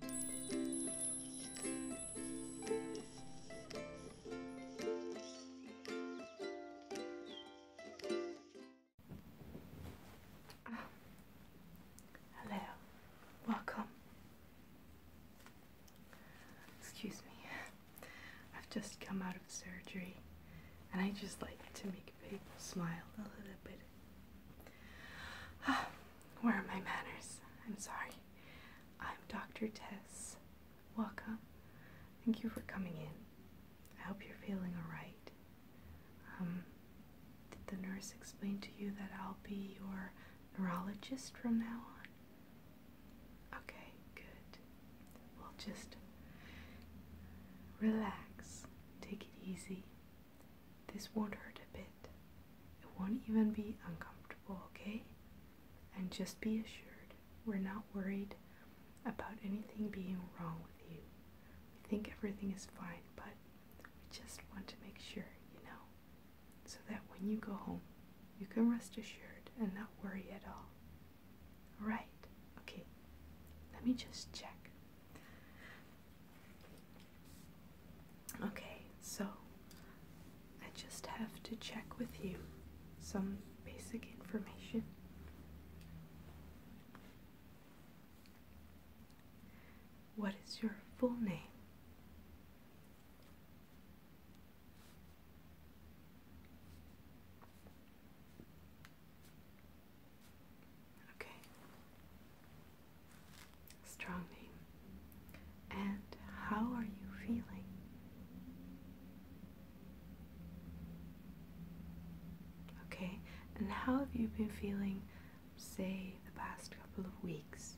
Oh. Hello, welcome. Excuse me, I've just come out of surgery and I just like to make people smile a little bit Where are my manners? I'm sorry. I'm Dr. Tess. Welcome. Thank you for coming in. I hope you're feeling alright. Um, did the nurse explain to you that I'll be your neurologist from now on? Okay, good. We'll just relax, take it easy, this won't hurt a bit. It won't even be uncomfortable, okay? And just be assured we're not worried about anything being wrong with you. We think everything is fine, but we just want to make sure, you know, so that when you go home, you can rest assured and not worry at all. Alright, okay, let me just check. Okay, so I just have to check with you some basic information. What is your full name? Okay. Strong name. And how are you feeling? Okay, and how have you been feeling, say, the past couple of weeks?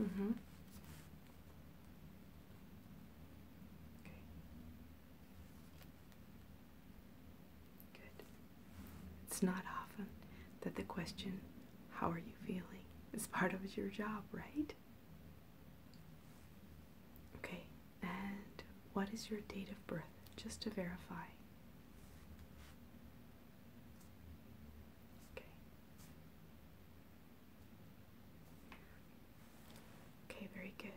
Mm-hmm. Okay. Good. It's not often that the question, how are you feeling, is part of your job, right? Okay, and what is your date of birth, just to verify? Okay. Okay, very good.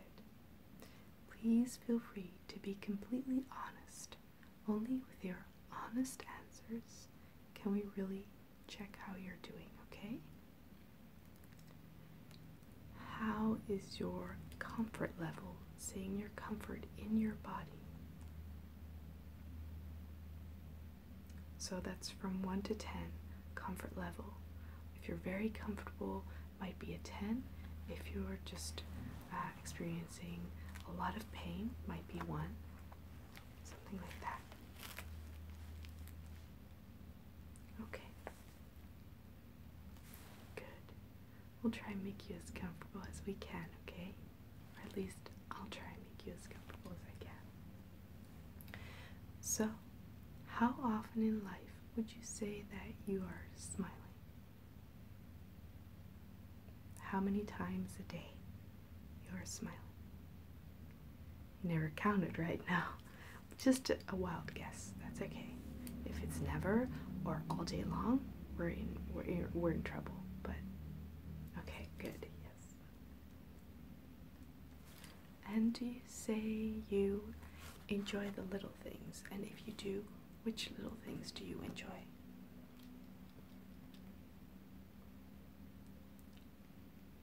Please feel free to be completely honest. Only with your honest answers can we really check how you're doing, okay? How is your comfort level, seeing your comfort in your body? So that's from 1 to 10 comfort level. If you're very comfortable, might be a 10. If you're just uh, experiencing a lot of pain, might be 1. Something like that. Okay. Good. We'll try and make you as comfortable as we can, okay? Or at least I'll try and make you as comfortable as I can. So, how often in life would you say that you are smiling? How many times a day you are smiling? never counted right now. Just a wild guess. That's okay. If it's never or all day long, we're in we're we're in trouble. But okay, good. Yes and you say you enjoy the little things. And if you do, which little things do you enjoy?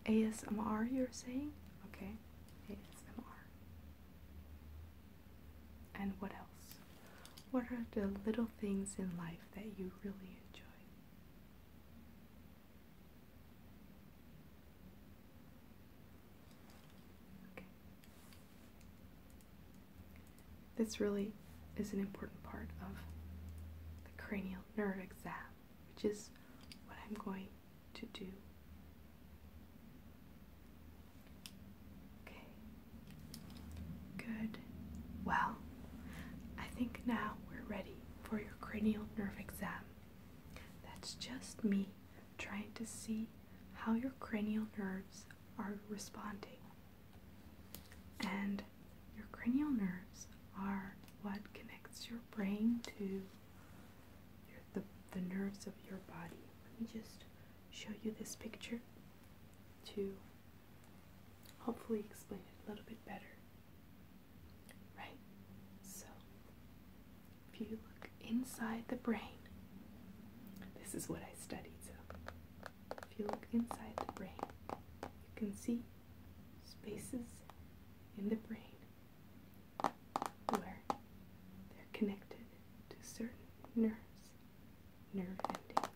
ASMR, you're saying? Okay, ASMR. And what else? What are the little things in life that you really enjoy? This really is an important part of the cranial nerve exam, which is what I'm going to do. Okay. Good. Well, I think now we're ready for your cranial nerve exam. That's just me trying to see how your cranial nerves are responding. And your cranial nerves are what connects your brain to the, the nerves of your body. Let me just show you this picture to hopefully explain it a little bit better. Right? So, if you look inside the brain, this is what I studied. So, if you look inside the brain, you can see spaces in the brain where they're connected to certain nerves, nerve endings,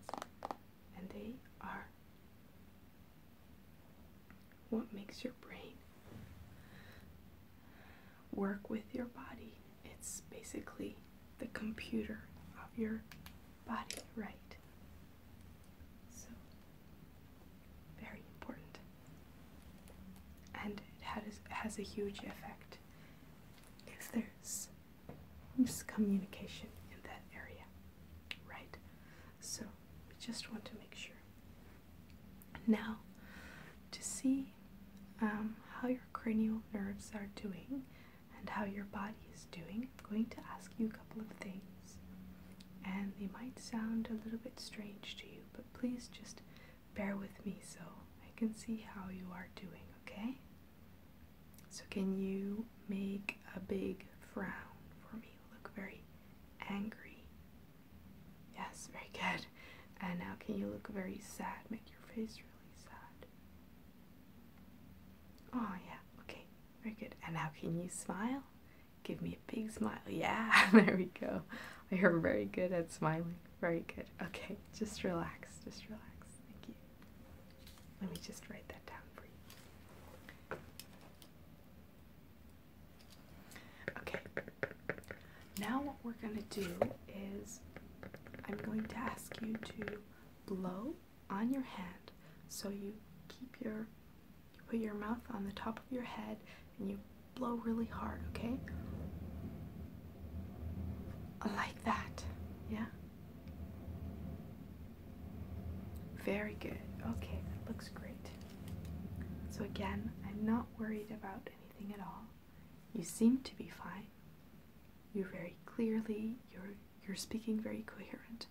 and they are what makes your brain work with your body? It's basically the computer of your body, right? So, very important. And it has a huge effect if there's miscommunication in that area, right? So we just want to make sure. Now, to see um, how your cranial nerves are doing and how your body is doing, I'm going to ask you a couple of things. And they might sound a little bit strange to you, but please just bear with me so I can see how you are doing, okay? So, can you make a big frown for me? Look very angry. Yes, very good. And now can you look very sad? Make your face really sad. Oh, yeah. Okay, very good. And now can you smile? Give me a big smile. Yeah, there we go. You're very good at smiling. Very good. Okay, just relax. Just relax. Thank you. Let me just write that down for you. Okay, now what we're going to do is I'm going to ask you to blow on your hand. So you keep your, you put your mouth on the top of your head and you blow really hard, okay? Like that, yeah? Very good. Okay, that looks great. So, again, I'm not worried about anything at all. You seem to be fine. You're very clearly, you're, you're speaking very coherent,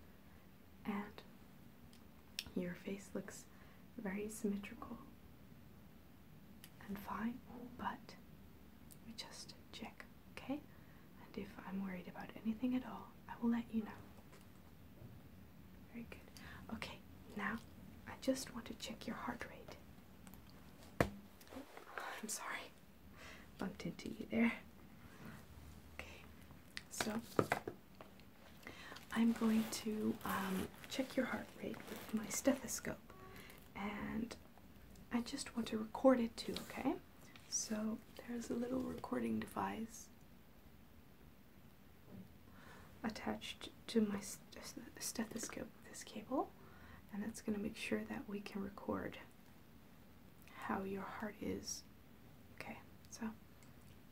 and your face looks very symmetrical and fine, but we just check, okay? and if I'm worried about anything at all, I will let you know. Very good. Okay, now I just want to check your heart rate. Oh, I'm sorry, bumped into you there. Okay, so I'm going to um, check your heart rate with my stethoscope and I just want to record it too, okay? So there's a little recording device attached to my stethoscope this cable and that's going to make sure that we can record how your heart is okay so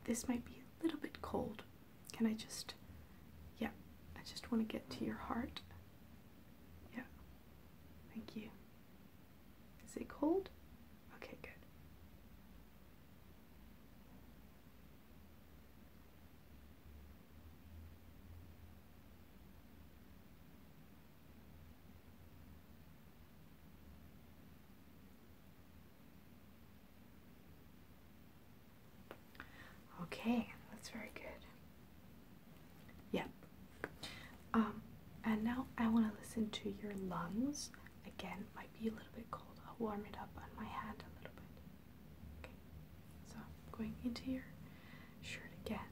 this might be a little bit cold can i just yeah i just want to get to your heart yeah thank you is it cold Okay, good. Okay, that's very good. Yep. Um, and now I want to listen to your lungs. Again, might be a little bit cold. I'll warm it up on my hand a little bit. Okay, so I'm going into your shirt again,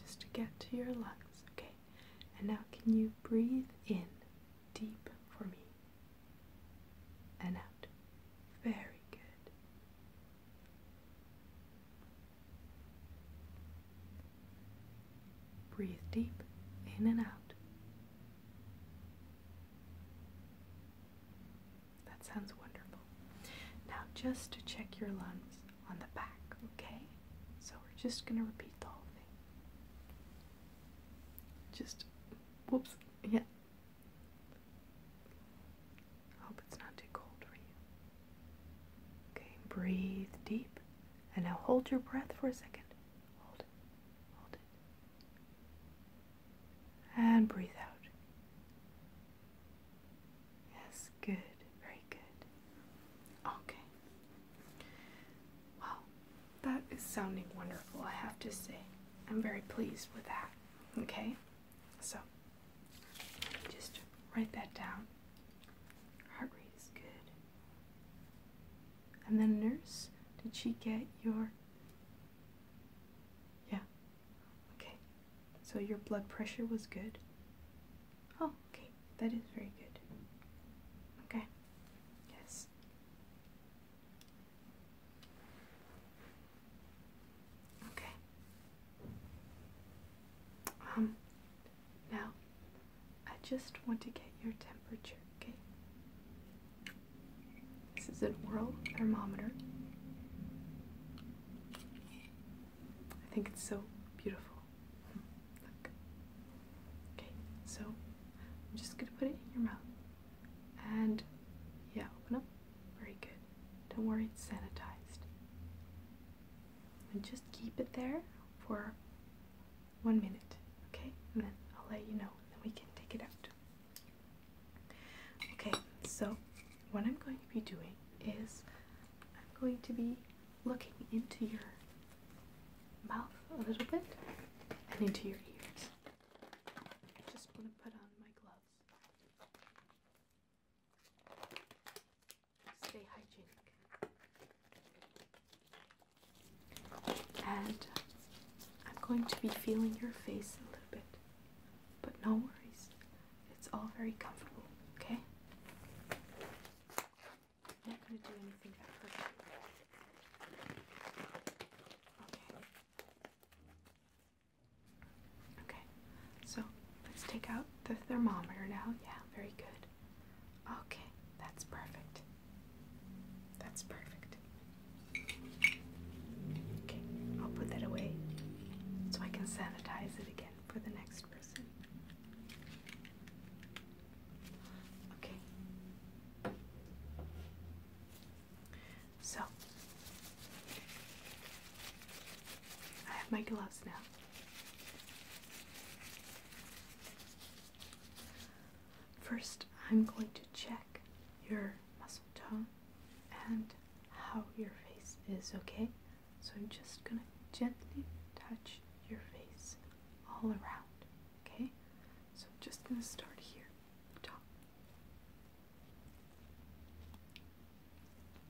just to get to your lungs. Okay, and now can you breathe in deep for me and out? Very good. Breathe deep in and out. That sounds wonderful. Now, just check your lungs on the back, okay? So, we're just going to repeat the whole thing. Just, whoops, yeah. Hope it's not too cold for you. Okay, breathe deep. And now hold your breath for a second. Hold it. Hold it. And breathe out. Yes, good. Very good. Okay. Well, that is sounding wonderful, I have to say. I'm very pleased with that. Okay? So, just write that down. Heart rate is good. And then nurse, did she get your Yeah. Okay. So your blood pressure was good. Oh, okay. That is very good. Okay. Yes. Okay. Um now, I just want to get your temperature, okay? This is an oral thermometer. I think it's so beautiful. Look. Okay, so I'm just gonna put it in your mouth. And yeah, open up. Very good. Don't worry, it's sanitized and just keep it there for one minute, okay? And then I'll let you know, then we can take it out. Okay, so what I'm going to be doing is I'm going to be looking into your mouth a little bit and into your ears. just want to put on my gloves stay hygienic. And I'm going to be feeling your face a little bit, but no worries, it's all very comfortable, okay? I'm not going to do anything that Okay. Okay, so let's take out the thermometer now. Yeah, very good. Okay, that's perfect. That's perfect. Okay, I'll put that away so I can sanitize it again for the next person. Okay. So, I have my gloves now. First, I'm going to check your muscle tone and how your face is, okay? So I'm just gonna gently touch your face all around, okay? So I'm just gonna start here, top,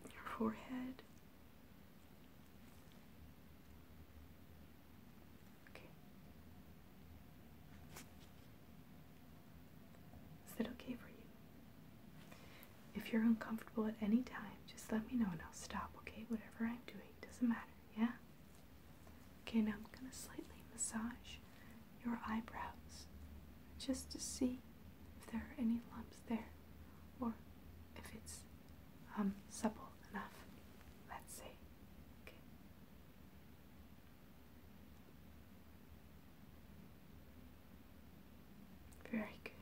your forehead, is that okay for you? If you're uncomfortable at any time, just let me know and I'll stop, okay? Whatever I'm doing, doesn't matter, yeah? Okay, now I'm gonna slightly massage your eyebrows just to see if there are any lumps there or if it's um supple enough. Let's see. Very good.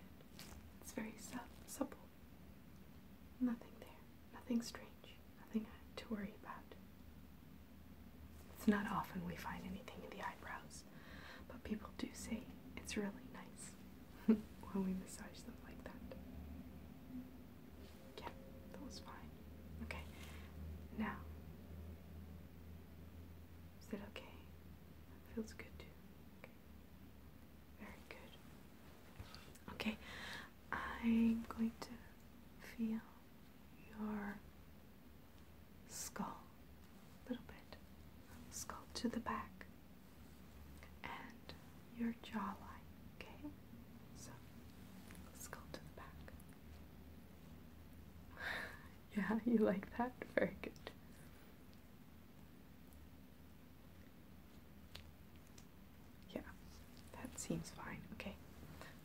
It's very su supple. Nothing there. Nothing strange. Nothing to worry about. It's not often we find anything in the eyebrows but people do say it's really nice when we massage them like that. Yeah, that was fine. Okay, now. Is that okay? That feels good too. Okay. Very good. Okay, I'm going to feel your skull a little bit of skull to the back and your jawline, okay? So, skull to the back. yeah, you like that? Very good. Yeah, that seems fine. Okay,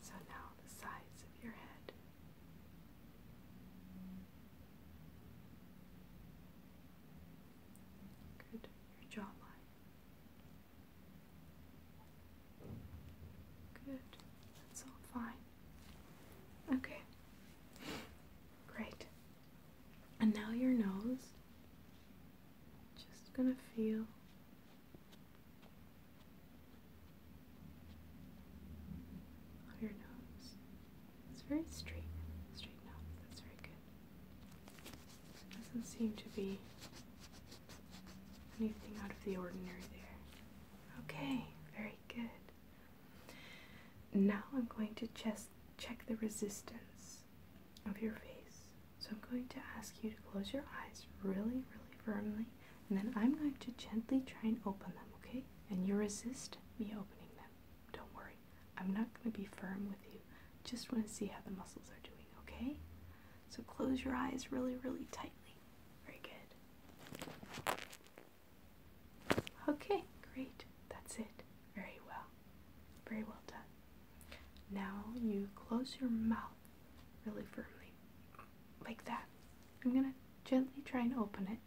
so now the sides of your head. Good. Your jawline. Good. That's all fine. Okay. Great. And now your nose. Just gonna feel. your nose. It's very straight. Straight now. That's very good. doesn't seem to be anything out of the ordinary there. Okay, very good. Now I'm going to just check the resistance of your face. So I'm going to ask you to close your eyes really, really firmly, and then I'm going to gently try and open them, okay? And you resist me opening them. Don't worry, I'm not going to be firm with you. Just want to see how the muscles are doing, okay? So close your eyes really, really tightly. Very good. Okay, great. That's it. Very well. Very well done. Now you close your mouth really firmly, like that. I'm going to gently try and open it.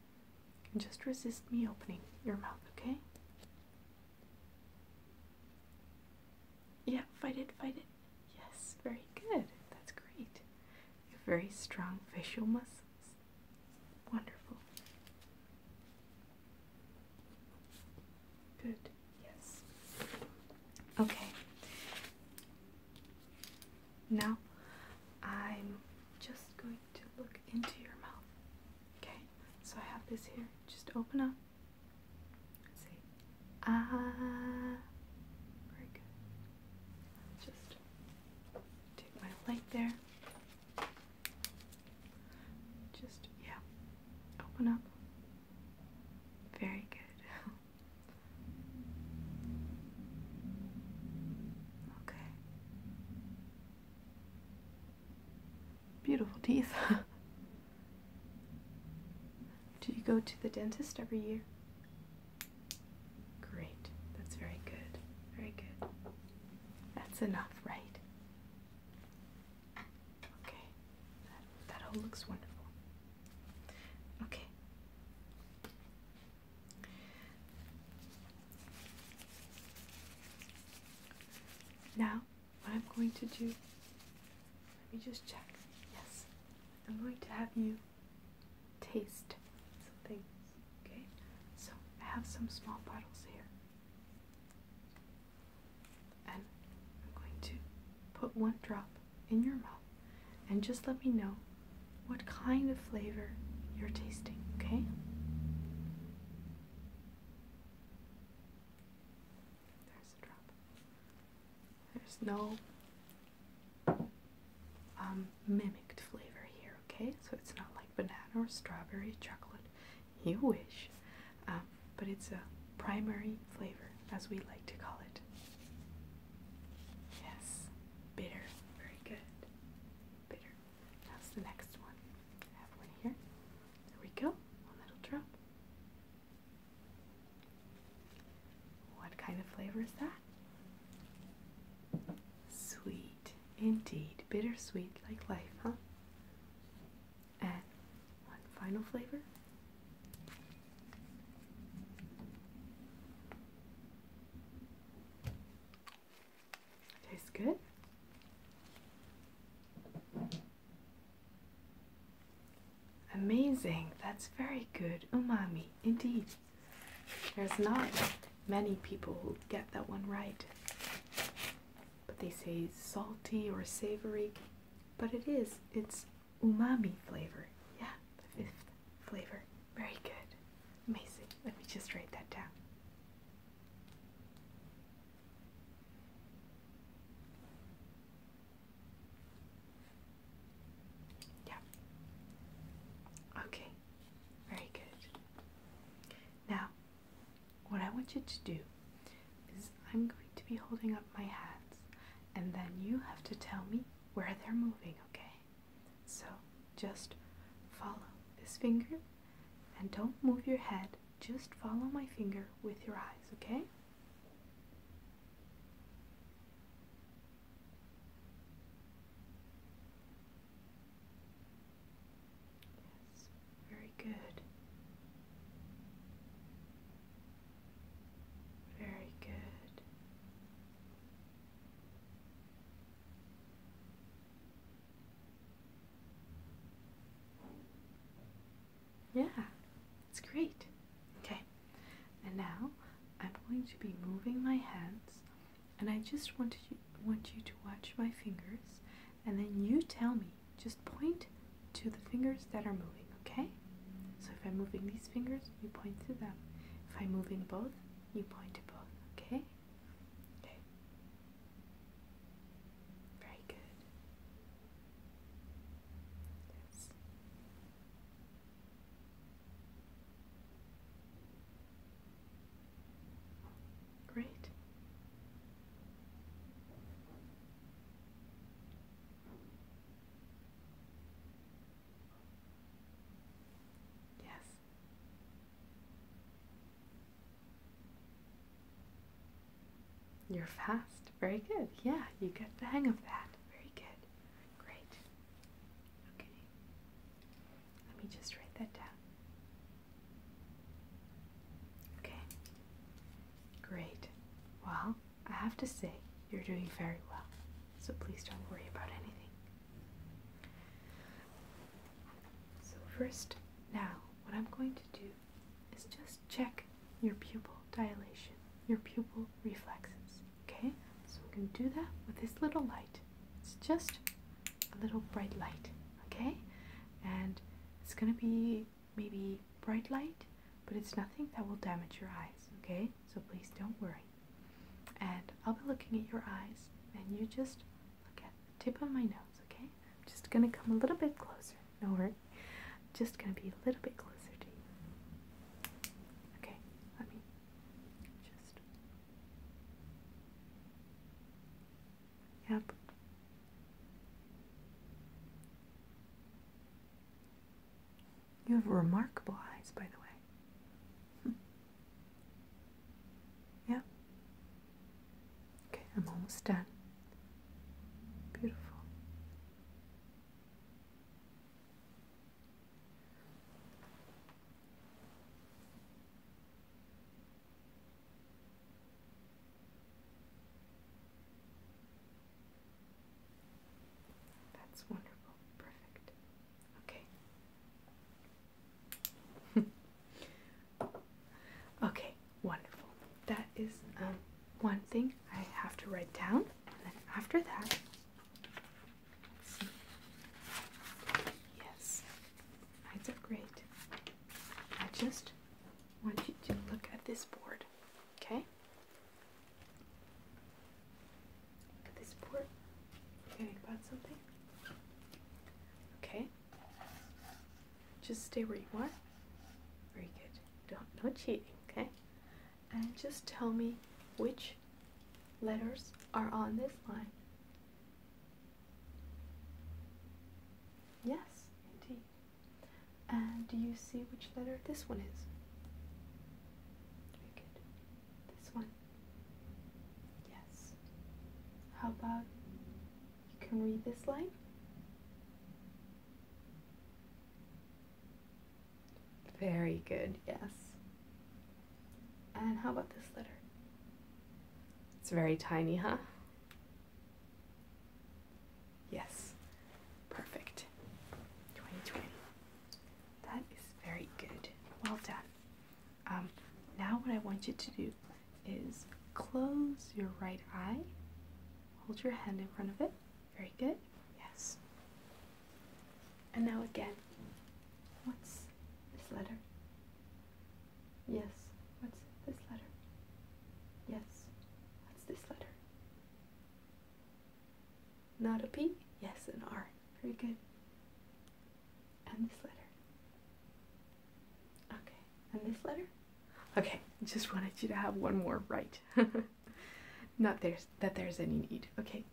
And just resist me opening your mouth, okay? Yeah, fight it, fight it. Yes, very good. That's great. You have very strong facial muscles. Wonderful. Good, yes. Okay. Now I'm just going to look into your mouth. Okay? So I have this here. Just open up. And say, ah. Very good. Just take my light there. Just, yeah. Open up. Very good. okay. Beautiful teeth. Do you go to the dentist every year? Great. That's very good. Very good. That's enough, right? Okay. That, that all looks wonderful. Okay. Now, what I'm going to do, let me just check. Yes, I'm going to have you taste some things, okay? So, I have some small bottles here. And I'm going to put one drop in your mouth and just let me know what kind of flavor you're tasting, okay? There's a drop. There's no um, mimicked flavor here, okay? So it's not like banana or strawberry, chocolate. You wish. Um, but it's a primary flavor, as we like to call it. Yes, bitter. Very good bitter. That's the next one. I have one here. There we go. One little drop. What kind of flavor is that? Sweet, indeed. Bittersweet like life, huh? And one final flavor. Tastes good. Amazing. That's very good. Umami, indeed. There's not many people who get that one right. But they say salty or savory, but it is. It's umami flavor. Yeah, fifth flavor. Very good. Amazing. Let me just write that down. Yeah. Okay. Very good. Now, what I want you to do is I'm going to be holding up my hands, and then you have to tell me where they're moving, okay? So just follow this finger and don't move your head. Just follow my finger with your eyes, okay? Yes, very good. Very good. Yeah, it's great. Okay, and now I'm going to be moving my hands, and I just want you want you to watch my fingers, and then you tell me. Just point to the fingers that are moving. Okay. So if I'm moving these fingers, you point to them. If I'm moving both, you point to both, okay? Okay. Very good. Yes. Great. Yes. You're fast. Very good. Yeah, you get the hang of that. Very good. Great. Okay. Let me just write that down. Okay. Great. Well, I have to say, you're doing very well so please don't worry about anything. So, first, now, what I'm going to do is just check your pupil dilation, your pupil reflexes, okay? So, we're going to do that with this little light. It's just a little bright light, okay? And it's going to be maybe bright light, but it's nothing that will damage your eyes, okay? So, please don't worry and I'll be looking at your eyes, and you just look at the tip of my nose, okay? I'm just gonna come a little bit closer. No worry. i just gonna be a little bit closer to you. Okay, let me just. Yep. You have remarkable eyes, by the way. Hmm. Yeah? Okay, I'm almost done. Beautiful. That's wonderful. Perfect. Okay. okay, wonderful. That is um, one thing I have to write down, and then after that, Yes, I did great. I just want you to look at this board, okay? this port. Okay. Just stay where you are. Very good. Don't not cheating, okay? And just tell me which letters are on this line. Yes, indeed. And do you see which letter this one is? Very good. This one? Yes. How about you can read this line? Very good, yes. And how about this letter? It's very tiny, huh? Yes. Perfect. 2020. That is very good. Well done. Um, now, what I want you to do is close your right eye, hold your hand in front of it. Very good. Yes. And now again. What's this letter? Yes. What's this letter? Yes. What's this letter? Not a P? Yes, an R. Very good. And this letter. Okay. And this letter? Okay. Just wanted you to have one more right. Not there's that there's any need. Okay.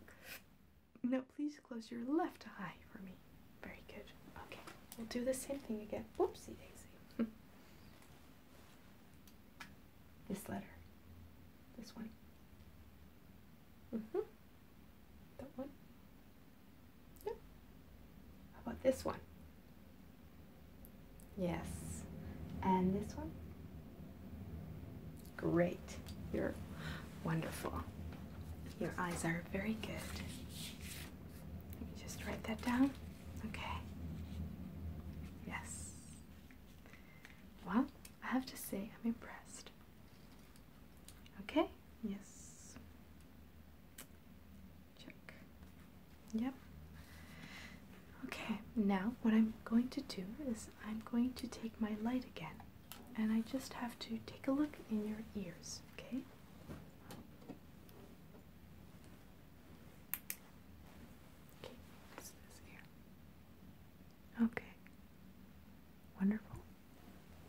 Now please close your left eye for me. Very good. Okay. We'll do the same thing again. Whoopsie daisy. This letter. This one. Mm-hmm. That one. Yep. How about this one? Yes. And this one? Great. You're wonderful. Your eyes are very good. Let me just write that down. Okay. Yes. Well, I have to say, I'm impressed. Okay, yes. Check. Yep. Okay, now what I'm going to do is I'm going to take my light again, and I just have to take a look in your ears, okay? Okay, this, this ear. Okay. Wonderful.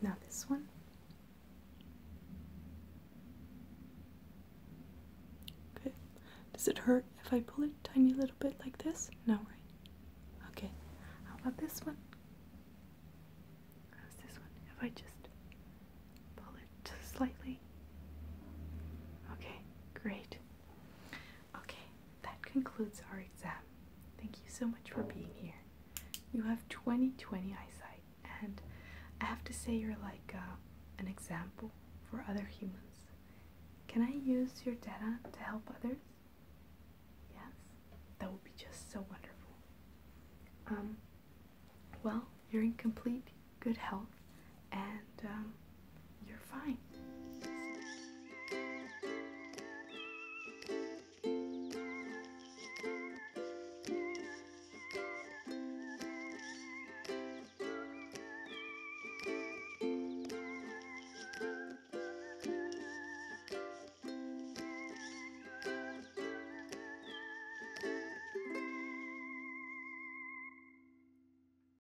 Now this one. Good. Does it hurt if I pull it tiny little bit like this? No, right? Okay. How about this one? How's this one? If I just pull it just slightly. Okay, great. Okay, that concludes our exam. Thank you so much for being here. You have 20 20 eyesight, and I have to say, you're like uh, an example for other humans. Can I use your data to help others? Yes, that would be just so wonderful. Um, well, you're in complete good health and um, you're fine.